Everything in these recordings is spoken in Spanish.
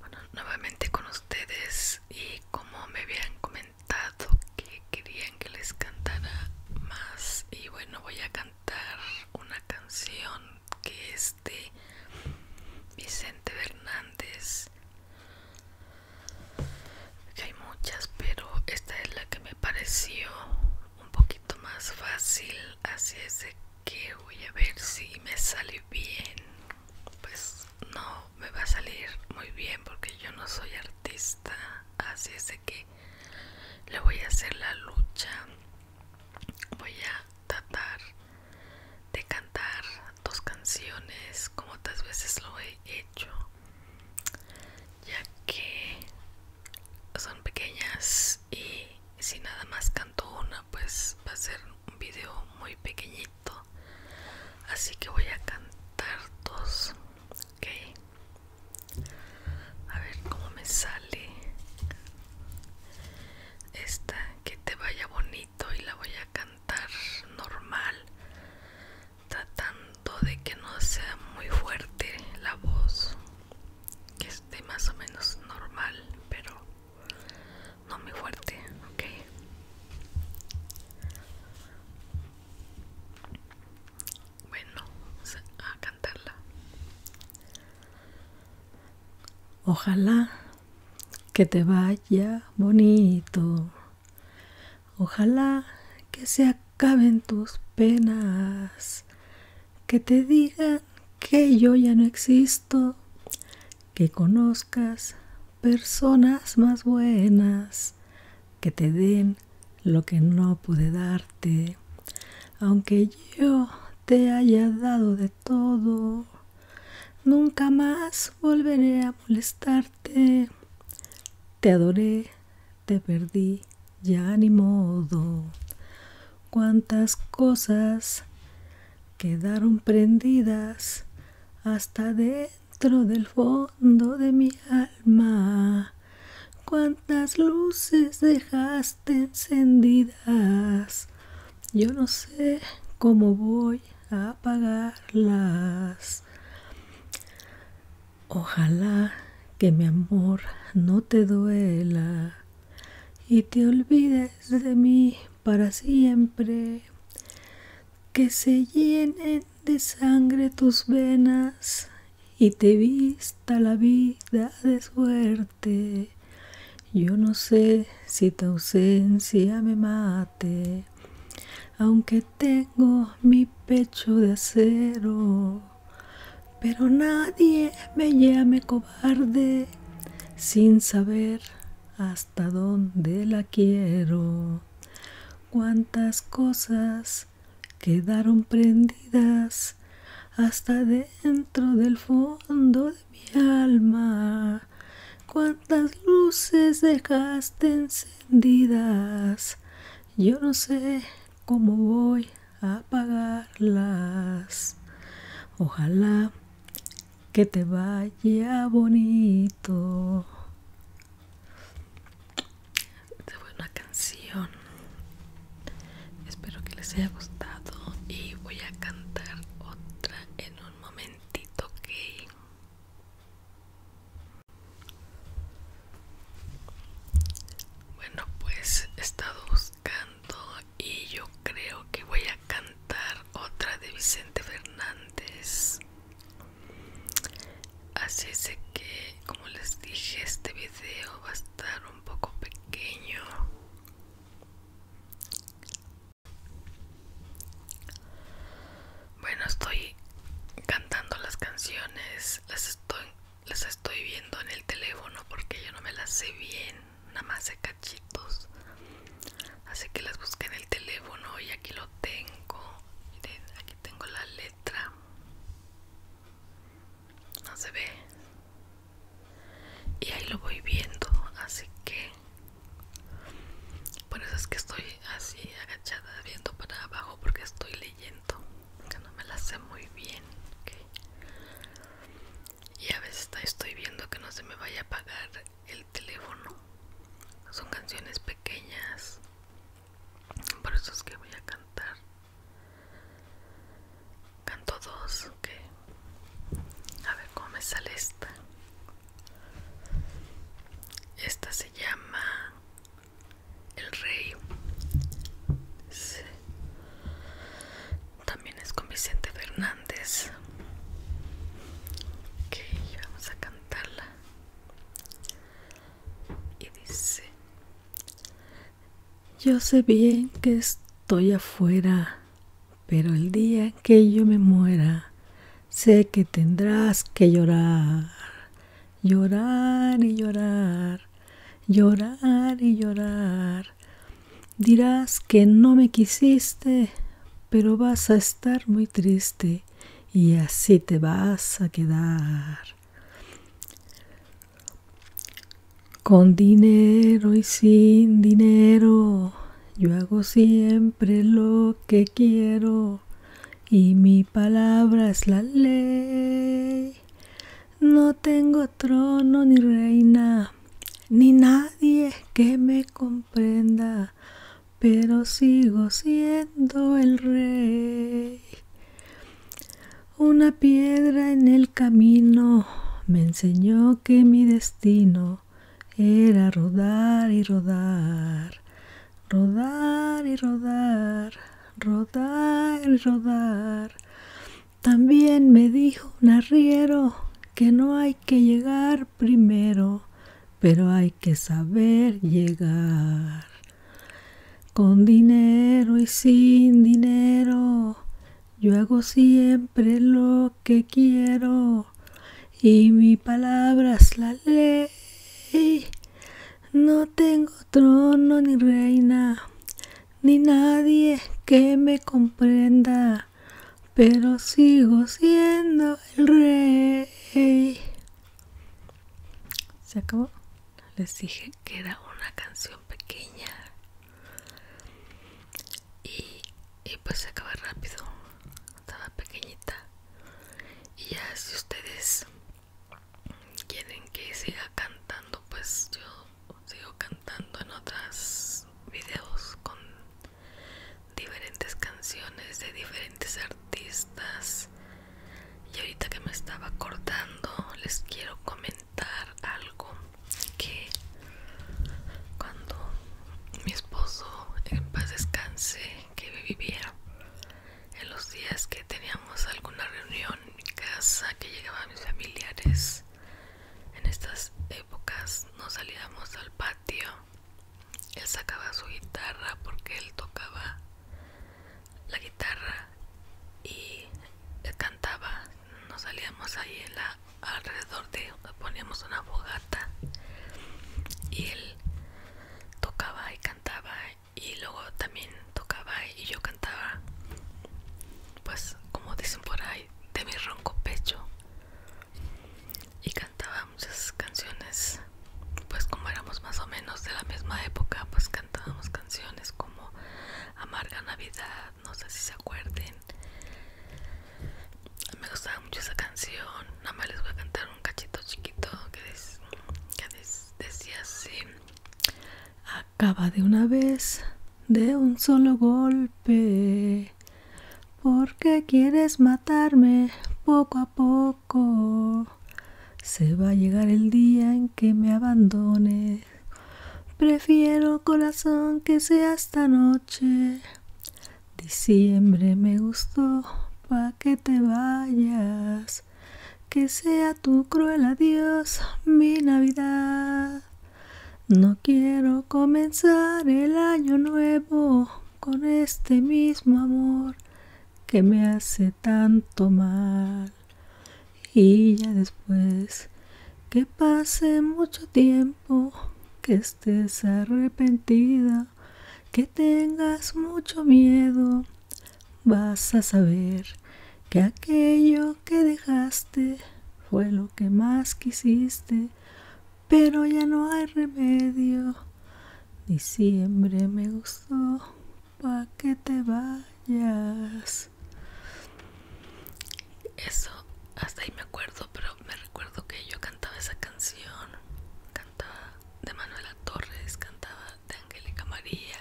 Bueno, nuevamente con ustedes y como me habían comentado que querían que les cantara más y bueno voy a cantar una canción que es de Vicente Fernández hay muchas pero esta es la que me pareció un poquito más fácil así es de que voy a ver si me sale bien pues no me va a salir muy bien porque yo no soy artista así es de que le voy a hacer la lucha voy a tratar de cantar dos canciones como otras veces lo he hecho ya que son pequeñas y si nada más canto una pues va a ser un video muy pequeñito así que voy a cantar dos ok a ver cómo me sale esta que te vaya bonito y la voy a cantar normal tratando de que no sea muy fuerte la voz que esté más o menos normal, pero no muy fuerte, ok. Bueno, a cantarla. Ojalá que te vaya bonito. Ojalá que se acaben tus penas que te digan que yo ya no existo, que conozcas personas más buenas, que te den lo que no pude darte, aunque yo te haya dado de todo. Nunca más volveré a molestarte. Te adoré, te perdí, ya ni modo. Cuántas cosas quedaron prendidas hasta dentro del fondo de mi alma. Cuántas luces dejaste encendidas. Yo no sé cómo voy a apagarlas. Ojalá que mi amor no te duela y te olvides de mí para siempre. Que se llenen de sangre tus venas y te vista la vida de suerte. Yo no sé si tu ausencia me mate, aunque tengo mi pecho de acero, pero nadie me llame cobarde sin saber hasta dónde la quiero. Cuántas cosas quedaron prendidas hasta dentro del fondo de mi alma. Cuántas luces dejaste encendidas yo no sé cómo voy a pagarlas. Ojalá que te vaya bonito. Esta fue una canción. Espero que les haya gustado y voy a cantar otra en un momentito, ¿ok? Bueno, pues he estado buscando y yo creo que voy a cantar otra de Vicente Fernández. Así es que, como les dije, este video va a estar un poco pequeño. Bueno, estoy cantando las canciones, las estoy, las estoy viendo en el teléfono porque yo no me las sé bien, nada más sé cachitos. Así que las busqué en el teléfono y aquí lo tengo. Miren, aquí tengo la letra. No se ve. Y ahí lo voy viendo, así que por eso es que estoy así agachada viendo para abajo porque estoy leyendo, que no me la sé muy bien. Y a veces estoy viendo que no se me vaya a apagar el teléfono. Son canciones pequeñas. Por eso es que voy a cantar. Canto dos, a ver cómo me sale esta. Esta se llama El Rey. También es con Vicente Fernández. Ok, vamos a cantarla. Y dice, yo sé bien que estoy afuera, pero el día que yo me muera, sé que tendrás que llorar, llorar y llorar, llorar y llorar. Dirás que no me quisiste, pero vas a estar muy triste y así te vas a quedar. Con dinero y sin dinero, yo hago siempre lo que quiero y mi palabra es la ley. No tengo trono ni reina, ni nadie que me comprenda, pero sigo siendo el rey. Una piedra en el camino me enseñó que mi destino era rodar y rodar, rodar y rodar, rodar y rodar. También me dijo un arriero que no hay que llegar primero, pero hay que saber llegar. Con dinero y sin dinero, yo hago siempre lo que quiero y mi palabras la ley. No tengo trono ni reina, ni nadie que me comprenda, pero sigo siendo el rey. Se acabó. Les dije que era una canción pequeña y, y pues se acaba rápido estaba pequeñita y ya si ustedes quieren que siga cantando pues yo sigo cantando en otros videos con diferentes canciones de diferentes artistas y ahorita que me estaba acordando les quiero comentar algo que cuando mi esposo en paz descanse que vivía en los días que teníamos alguna reunión en mi casa que llegaban mis familiares en estas épocas nos salíamos al patio él sacaba su guitarra porque él tocaba la guitarra y cantaba nos salíamos ahí en la alrededor de poníamos una fogata y él tocaba y cantaba y luego también tocaba y yo cantaba pues como dicen por ahí de mi ronco pecho y cantaba muchas canciones pues como éramos más o menos de la misma época pues cantábamos canciones como amarga navidad no sé si se acuerden me gustaba mucho esa canción. Nada más les voy a cantar un cachito chiquito que, decía así. Acaba de una vez, de un solo golpe. Porque quieres matarme poco a poco. Se va a llegar el día en que me abandones. Prefiero corazón que sea esta noche. Diciembre me gustó pa' que te vayas. Que sea tu cruel adiós mi Navidad. No quiero comenzar el año nuevo con este mismo amor que me hace tanto mal y ya después que pase mucho tiempo, que estés arrepentida, que tengas mucho miedo, vas a saber que aquello que dejaste fue lo que más quisiste, pero ya no hay remedio. Diciembre me gustó, pa' que te vayas. Yes. Eso, hasta ahí me acuerdo, pero me recuerdo que yo cantaba esa canción. Cantaba de Manuela Torres, cantaba de Angélica María,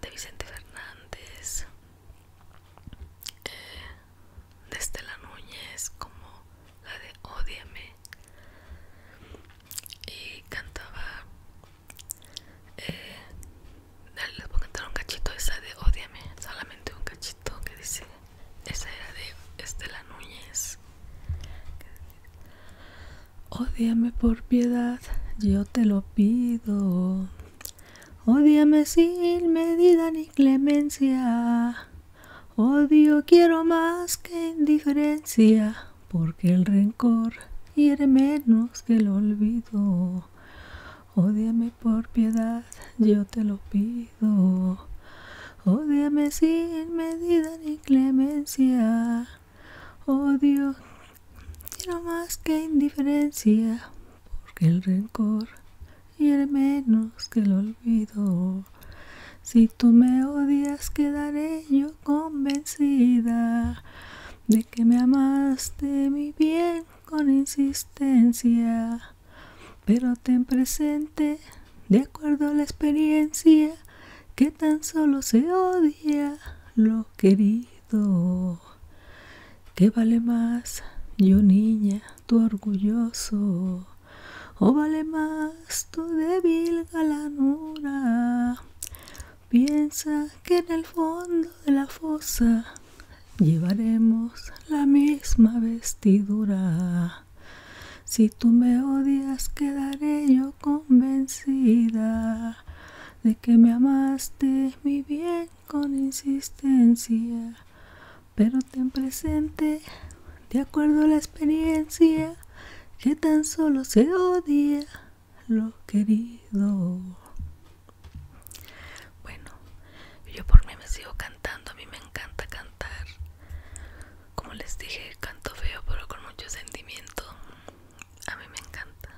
de Vicente Fernández, eh, de Estela Núñez, como la de Odiame. Y cantaba eh, dale les voy a cantar un cachito esa de Odiame, solamente un cachito que dice, esa era de Estela Núñez. Odiame por piedad, yo te lo pido. Odiame sin medida ni clemencia. Odio quiero más que indiferencia porque el rencor hiere menos que el olvido. odiame por piedad, yo te lo pido. odiame sin medida ni clemencia. Odio, no más que indiferencia, porque el rencor hiere menos que el olvido. Si tú me odias, quedaré yo convencida de que me amaste mi bien con insistencia, pero ten presente, de acuerdo a la experiencia, que tan solo se odia lo querido. ¿Qué vale más, yo niña, tu orgulloso? ¿O vale más tu débil galanura? Piensa que en el fondo de la fosa llevaremos la misma vestidura. Si tú me odias, quedaré yo convencida de que me amaste mi bien con insistencia. Pero ten presente, de acuerdo a la experiencia, que tan solo se odia lo querido. Bueno, yo por mí me sigo cantando, a mí me encanta cantar. Como les dije, canto feo pero con mucho sentimiento. A mí me encanta.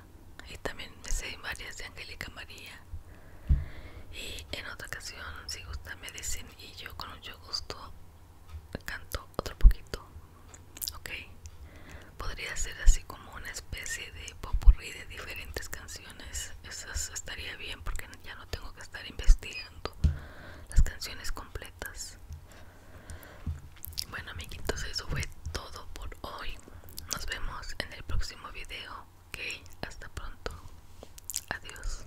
Y también me sé varias de Angélica María. Y en otra ocasión, si gusta, me dicen y yo con mucho gusto canto otro poquito ok podría ser así como una especie de popurrí de diferentes canciones eso estaría bien porque ya no tengo que estar investigando las canciones completas bueno amiguitos eso fue todo por hoy nos vemos en el próximo video ok hasta pronto adiós